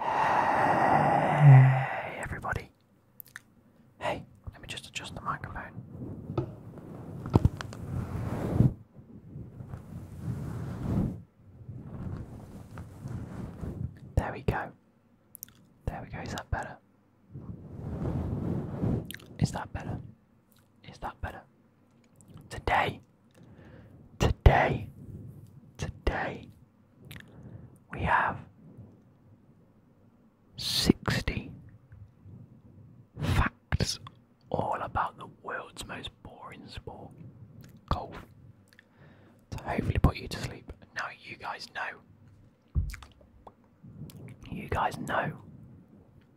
Hey everybody. Hey, let me just adjust the microphone. There we go. There we go. Is that better? Is that better? Is that better? Today Today, today, we have 60 facts all about the world's most boring sport, golf. To hopefully put you to sleep. Now you guys know. You guys know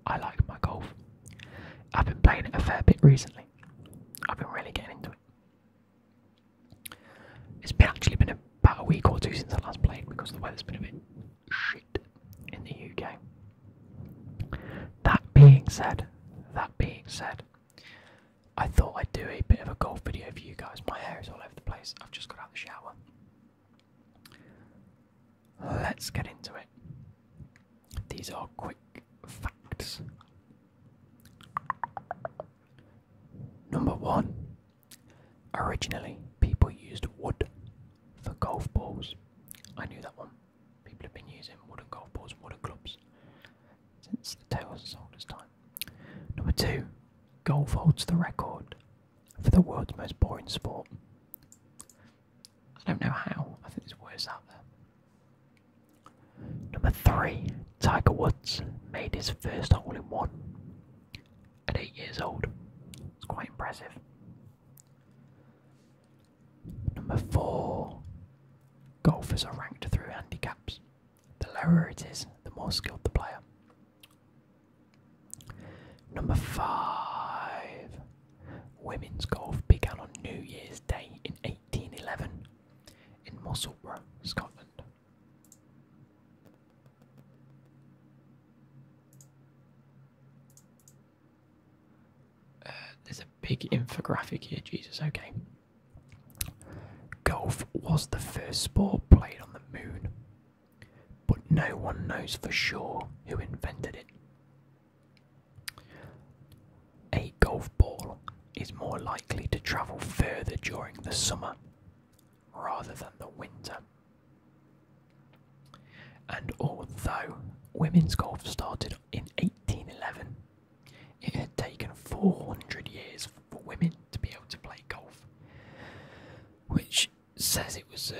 I like my golf. I've been playing it a fair bit recently. I've been really getting into it. It's been actually been about a week or two since I last played because the weather's been a bit shit in the UK. That being said, that being said, I thought I'd do a bit of a golf video for you guys. My hair is all over the place. I've just got out of the shower. Let's get into it. These are quick facts. Number one. Originally, people used wood for golf balls. I knew that one. People have been using wooden golf balls, and wooden clubs since the tales as old time. Number two, golf holds the record for the world's most boring sport. I don't know how. I think there's worse out there. Number three, Tiger Woods made his first hole in one at eight years old. It's quite impressive. Number four, golfers are ranked through handicaps. The lower it is, the more skilled the player. Number five, women's golf began on New Year's Day in 1811 in Musselburgh, Scotland. Uh, there's a big infographic here, Jesus, okay. Golf was the first sport played on the moon, but no one knows for sure who invented it. A golf ball is more likely to travel further during the summer rather than the winter. And although women's golf started in 1811, it had taken 400 years for women to be able to play golf, which says it was uh,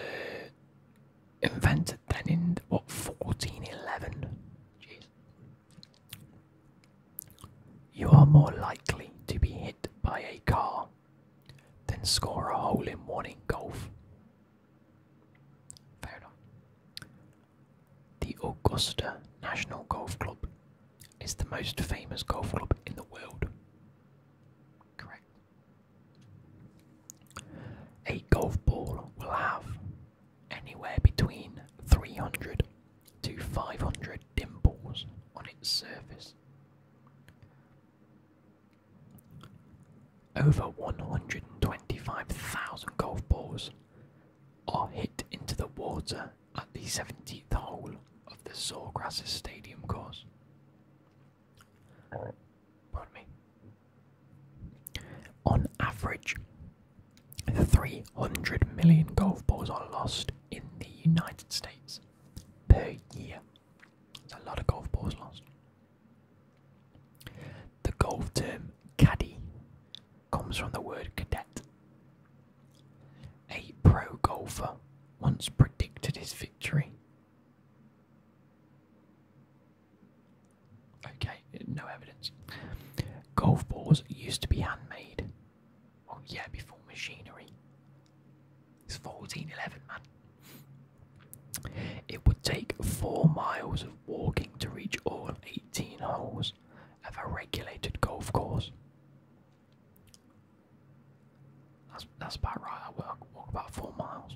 invented then in what 1411. Jeez. You are more likely to be hit by a car than score a hole in one in golf. Fair enough. The Augusta National Golf Club is the most famous golf club in the world. Correct. A golf ball will have anywhere between 300 to 500 dimples on its surface. Over 125,000 golf balls are hit into the water at the 17th hole of the Sawgrass Stadium course. Pardon me. On average, 300 million golf balls are lost in the United States per year. That's a lot of golf balls lost. The golf term caddy comes from the word cadet. A pro golfer once predicted his victory Okay, no evidence. Golf balls used to be handmade. Oh yeah, before machinery. It's 1411, man. It would take four miles of walking to reach all 18 holes of a regulated golf course. That's, that's about right. I walk, walk about four miles.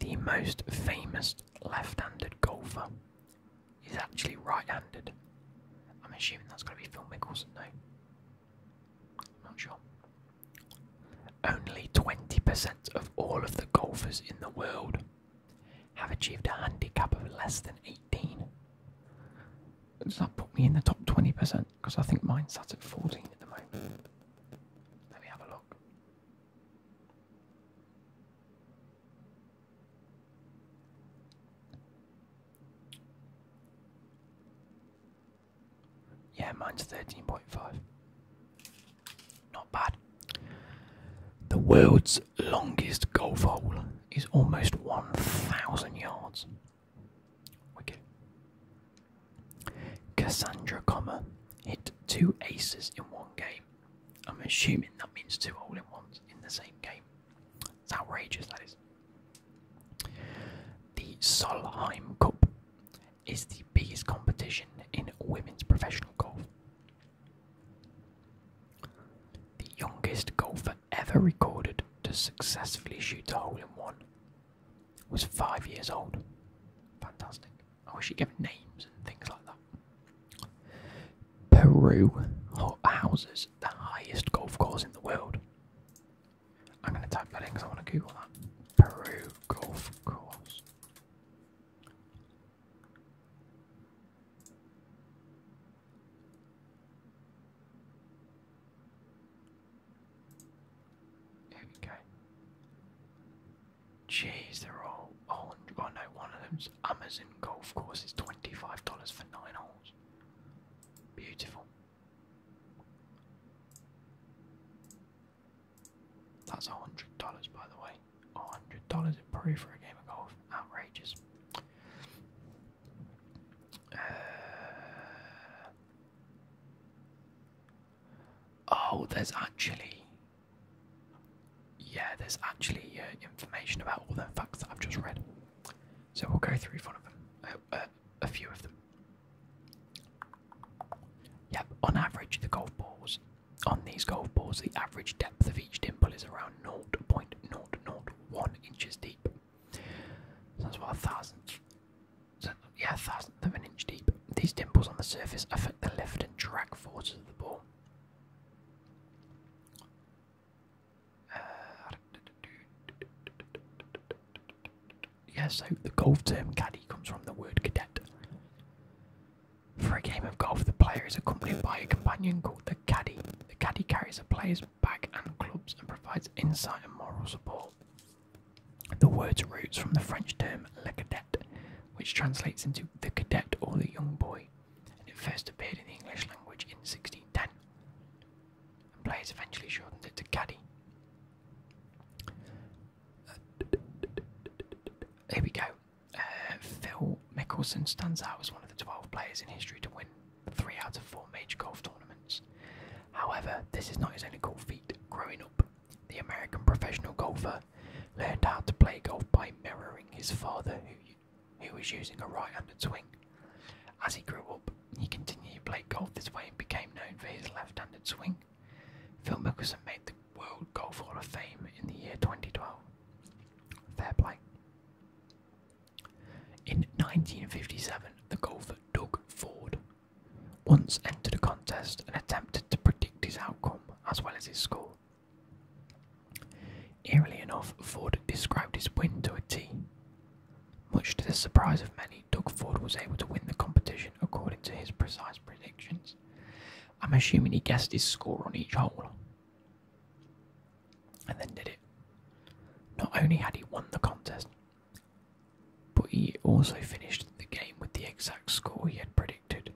The most famous left handed golfer is actually right handed. I'm assuming that's going to be Phil Mickelson, no? I'm not sure. Only 20% of all of the golfers in the world have achieved a handicap of less than 18. Does that put me in the top 20%? Because I think mine's sat at 14 at the moment. Let me have a look. Yeah, mine's 13.5. Not bad. The world's longest golf hole is almost 1,000 yards. Wicked. Cassandra Comma hit two aces in one game. I'm assuming that means two all in ones in the same game. It's outrageous, that is. The Solheim Cup is the biggest competition in women's professional golf. The youngest golfer ever recorded to successfully shoot a hole in one was five years old. Fantastic. I wish you gave names and things like that. Peru houses the highest golf course in the world. I'm going to type that in because I want to Google that. Peru golf course. Here Jeez, they're all. Oh, oh no, one of them's Amazon golf course is twenty-five dollars for nine holes. Beautiful. That's hundred dollars, by the way. hundred dollars in Peru for a game of golf. Outrageous. Uh, Oh, there's actually. Yeah, there's actually uh, information about all the facts I've just read. So we'll go through one of them, uh, uh, a few of them. Yep, on average, the golf balls. On these golf balls, the average depth of each dimple is around 0.001 inches deep. that's what yeah, thousandth of an inch deep. These dimples on the surface affect the lift and drag forces of the ball. Uh, yes, so the golf term caddy comes from the word cadet. For a game of golf, the player is accompanied by a companion called the caddy. The caddy carries a player's bag and clubs and provides insight and moral support. The word roots from the French term "le cadet," which translates into "the cadet" or "the young boy," and it first appeared in the English language in 1610. And players eventually shortened it to "caddy." Uh, here we go. Uh, Phil Mickelson stands out as one of the 12 players in history to win three out of four major golf tournaments. However, this is not his only golf feat. Growing up, the American professional golfer learned how to play golf by mirroring his father, who, was using a right-handed swing. As he grew up, he continued to play golf this way and became known for his left-handed swing. Phil Mickelson made the World Golf Hall of Fame in the year 2012. Fair play. In 1957, the golfer Doug Ford once entered a contest and attempted to predict his outcome as well as his score. Eerily enough, Ford described his win to a T. Much to the surprise of many, Doug Ford was able to win the competition according to his precise predictions. I'm assuming he guessed his score on each hole and then did it. Not only had he won the contest, but he also finished the game with the exact score he had predicted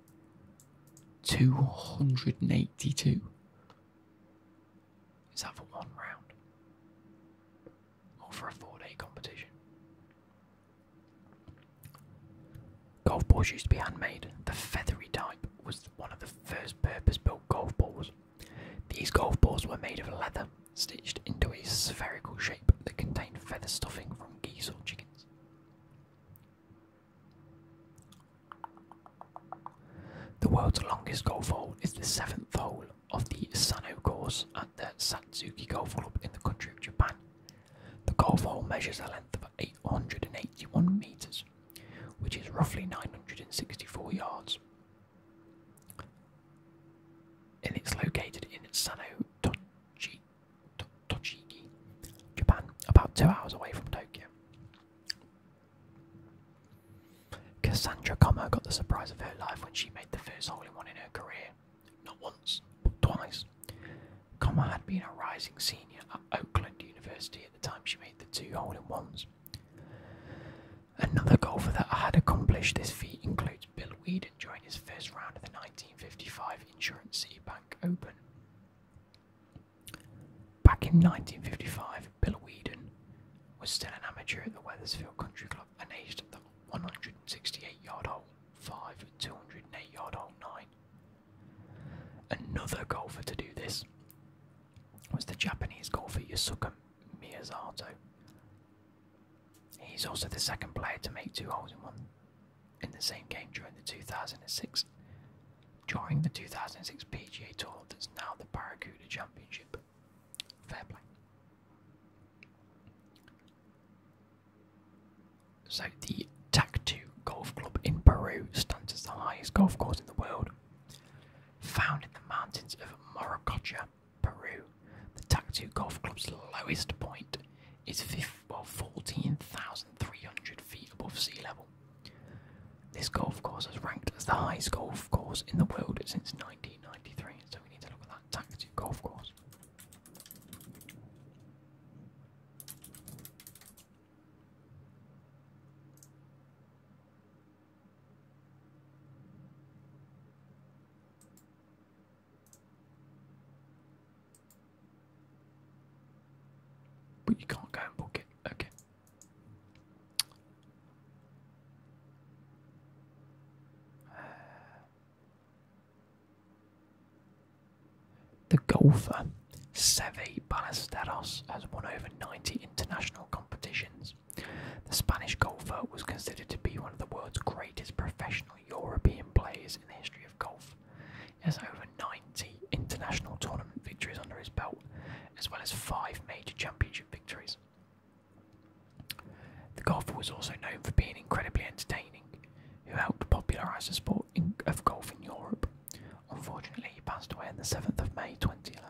282. Is that for one round? Or for a four day competition? Golf balls used to be handmade. The feathery type was one of the first purpose built golf balls. These golf balls were made of leather stitched into a spherical shape that contained feather stuffing from geese or chickens. The world's longest golf hole is the seventh hole of the Sano course at the Satsuki Golf Club in the country of Japan. The golf hole measures a length of 881 metres, which is roughly 964 yards. And it's located in Sano Tochigi, Japan, about two hours away from Tokyo. Cassandra Como got the surprise of her life when she made the first hole in one in her career. Not once, but twice. Como had been a rising senior at Oakland University at the time she made the two hole in ones. Another golfer that had accomplished this feat includes Bill Weeder, during his first round of the 1955 Insurance City Bank Open. Back in 1955, Bill Whedon was still an amateur at the Wethersfield Country Club and aged at the 168 yard hole 5 and 208 yard hole 9. Another golfer to do this was the Japanese golfer Yasuka Miyazato. He's also the second player to make two holes in one in the same game during the 2006 during the 2006 PGA Tour that's now the Barracuda Championship. Fair play. So the Tactu Golf Club in Peru stands as the highest golf course in the world. Found in the mountains of Morococha Peru. The Tactu Golf Club's lowest point is 14,300 feet above sea level. This golf course has ranked as the highest golf course in the world since 1993, so we need to look at that Tactu Golf Course. But you can't go and book it. Okay. the golfer Seve Ballesteros has won over 90 international competitions the Spanish golfer was considered to be one of the world's greatest professional European players in the history of golf. He has over 90 international tournament victories under his belt, as well as five major championship victories. The golfer was also known for being incredibly entertaining, who helped popularise the sport of golf in Europe. Unfortunately, he passed away on the 7th of May 2011.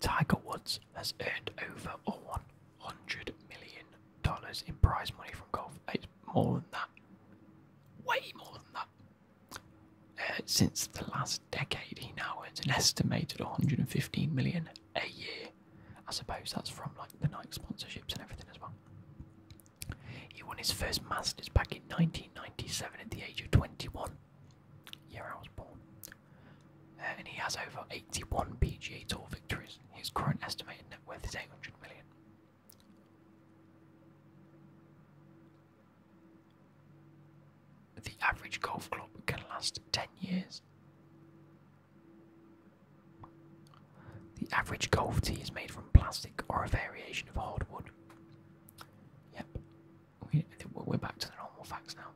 Tiger Woods has earned over one hundred million dollars in prize money from golf. It's more than that, way more than that. Uh, since the last decade, he now earns an estimated one hundred and fifteen million a year. I suppose that's from like the Nike sponsorships and everything as well. He won his first Masters back in 1997 at the age of 21, year I was born, uh, and he has over 81 PGA Tour victories. His current estimated net worth is 800 million. The average golf club can last 10 years. The average golf tee is made from plastic or a variation of hardwood. Yep, we, are back to the normal facts now.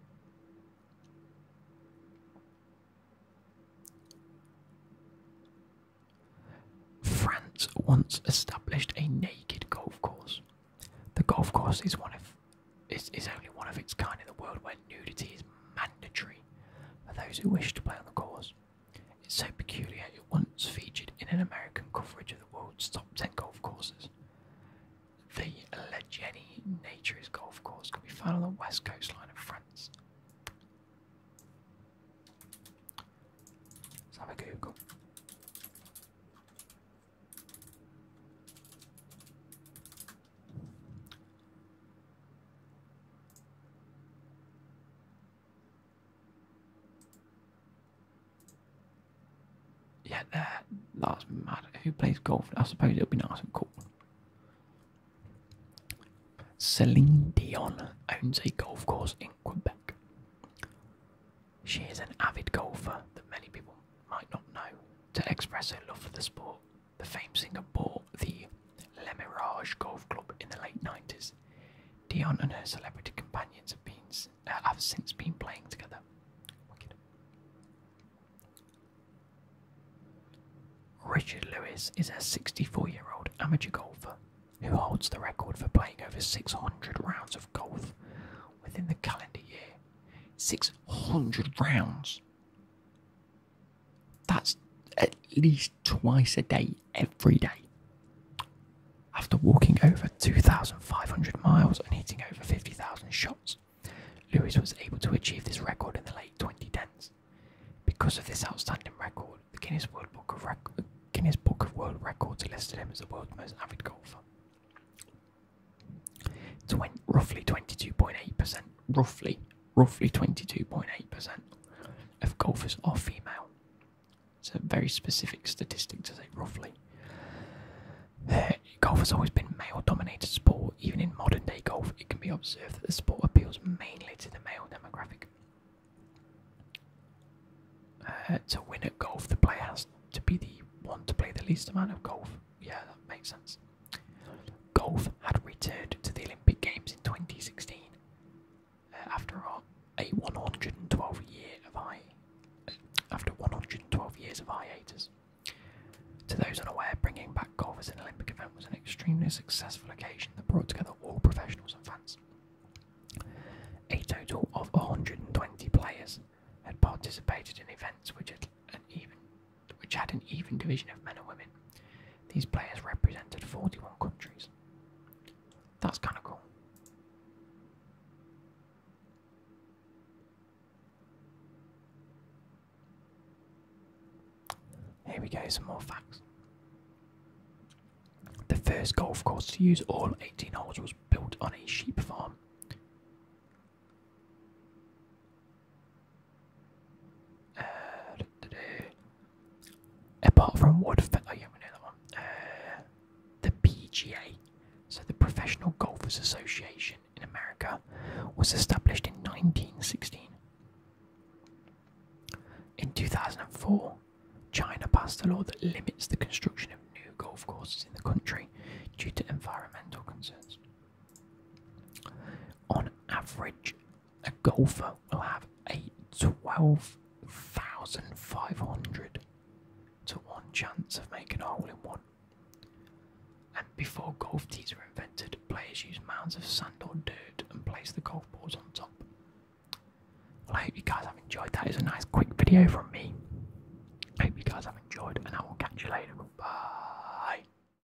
France once established a naked golf course. The golf course is one of is, is only one of its kind in the world where nudity is mandatory for those who wish to play on the course. It's so peculiar it once featured in an American coverage of the world's top 10 golf courses. The Leggeni Naturist Golf Course can be found on the west coastline of France. Let's have a Google. Yeah, that, that's mad. Who plays golf? I suppose it'll be nice and cool. Celine Dion owns a golf course in Quebec. She is an avid golfer that many people might not know. To express their love for the sport, the famed singer bought the Le Mirage Golf Club in the late 90s. Dion and her celebrity companions have, been, uh, have since been playing together. Richard Lewis is a 64 year old amateur golfer who holds the record for playing over 600 rounds of golf within the calendar year. 600 rounds! That's at least twice a day, every day. After walking over 2,500 miles and hitting over 50,000 shots, Lewis was able to achieve this record in the late 2010s. Because of this outstanding record, the Guinness World Book of, Guinness Book of World Records listed him as the world's most avid golfer. Twen roughly 22.8%, roughly roughly 22.8% of golfers are female. It's a very specific statistic to say roughly. Uh, golf has always been a male dominated sport. Even in modern day golf, it can be observed that the sport appeals mainly to the male demographic. Uh, to win at golf, the player has to be the one to play the least amount of golf. Yeah, that makes sense. Golf had returned to the Olympic Games in 2016 uh, after a 112 year of hi uh, after 112 years of hiatus. To those unaware, bringing back golf as an Olympic event was an extremely successful occasion that brought together all professionals and fans. A total of 120 players had participated in events which had an even which had an even division of men and women. These players represented 41 countries. That's kind of cool. Here we go, some more facts. The first golf course to use all 18 holes was built on a sheep farm. Uh, apart from what, oh yeah, another one. Uh, the PGA, so the Professional Golfers Association in America, was established in 1916. In 2004, China passed a law that limits the construction of new golf courses in the country due to environmental concerns. On average, a golfer will have a 12,500 to 1 chance of making a hole in one. And before golf tees were invented, players used mounds of sand or dirt and placed the golf balls on top. Well, I hope you guys have enjoyed that. It's a nice quick video from me. hope you guys have enjoyed, and I will catch you later. Bye.